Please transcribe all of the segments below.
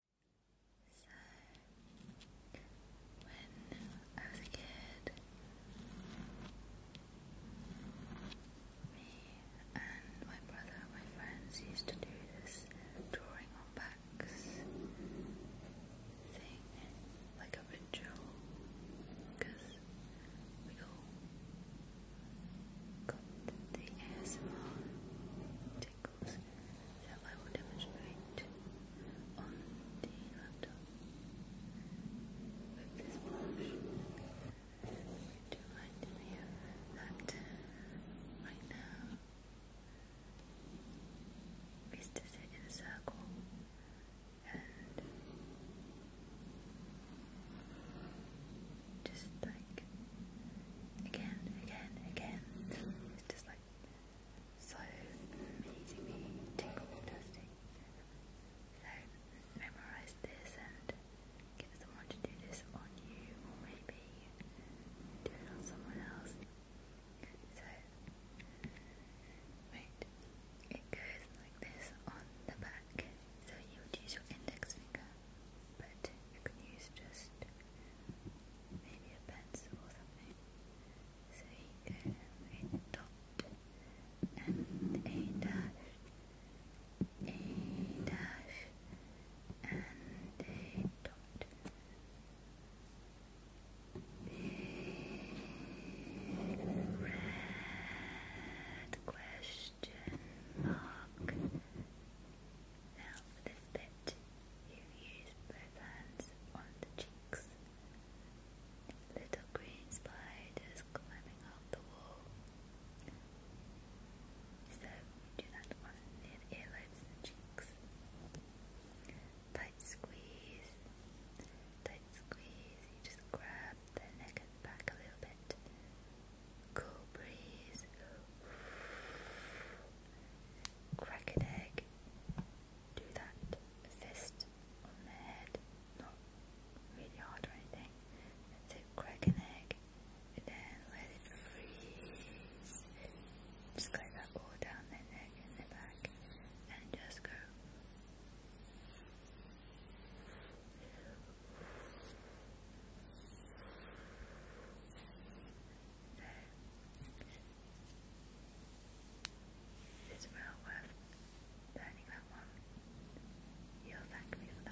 So, when I was a kid, me and my brother my friends used to do this drawing on backs thing, like a ritual, we all got the ASMR tingles I will demonstrate on the laptop. With this brush, it reminds me of that right now is to sit in a circle and just like again, again, again. It's just like so amazingly tingle fantastic. So memorize this and get someone to do this on you, or maybe do it on someone else. So wait, it goes like this on the back back. So you would use your index finger, but you can use just maybe a pencil or something. So a dot and a dash, a dash, and a dot. Big red question mark. Now for this bit, you use both hands on the cheeks. Little green spiders climbing up the wall. So do that one near the earlobes and cheeks. Tight squeeze. Tight squeeze. You just grab up neck and back a little bit. Cool breeze. Crack an egg. Do that fist on the head. Not really hard or anything. That's Crack an egg. And then let it freeze. Just let that all down their neck and their back. And just go. It is well worth learning that one. You'll thank for that.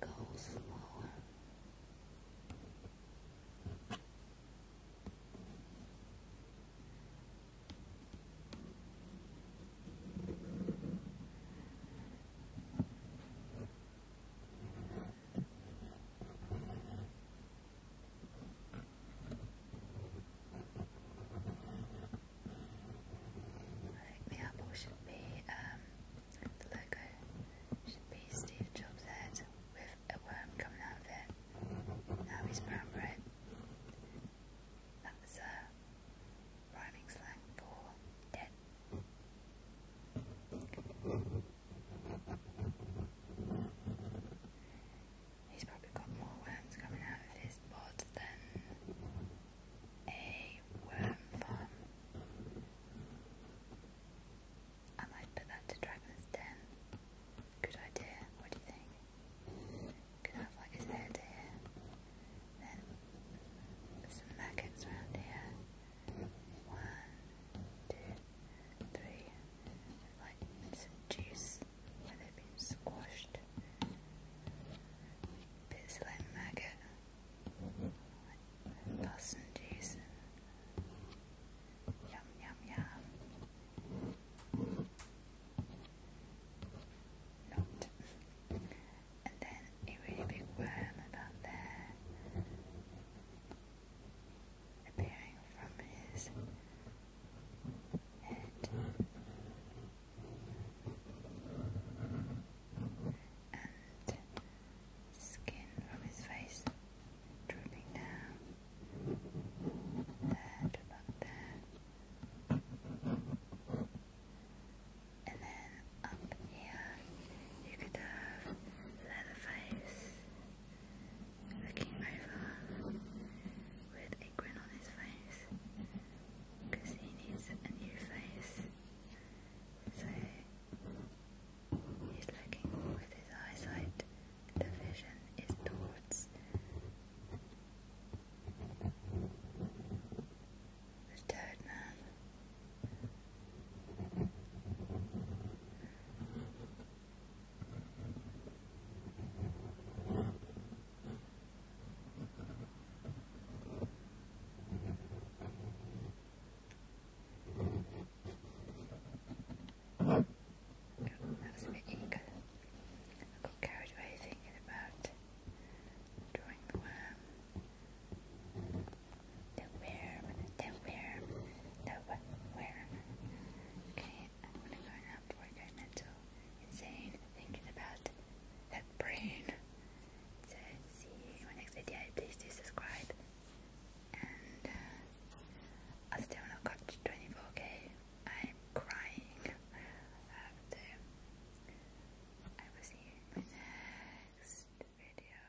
We'll go slower. Now the apple should be, um, the logo should be Steve Jobs' head with a worm coming out of it. Now he's brown bread. That's a uh, rhyming slang for dead. He's probably got more worms coming out of his pod than a worm farm. I might put that to Dragon's Den. Good idea, what do you think? Could have like his head here. Then some maggots around here. One, two, three. Like some juice where they been squashed. Bits like maggot, passengers. Yum, yum, yum. Not. And then a really big worm about there appearing from his head and skin from his face drooping down there about there and then up here you could have Leatherface looking over with a grin on his face because he needs a new face. So he's looking with his eyesight, the vision is towards the third man. God, that a bit eager. I got carried thinking about drawing the worm. The worm, the worm, the what, where. Okay, I'm gonna go now before I mental, insane, thinking about that brain. So, see you my next video. Please do subscribe. And uh, I still not got 24k. I'm crying. Uh, I will see my next video.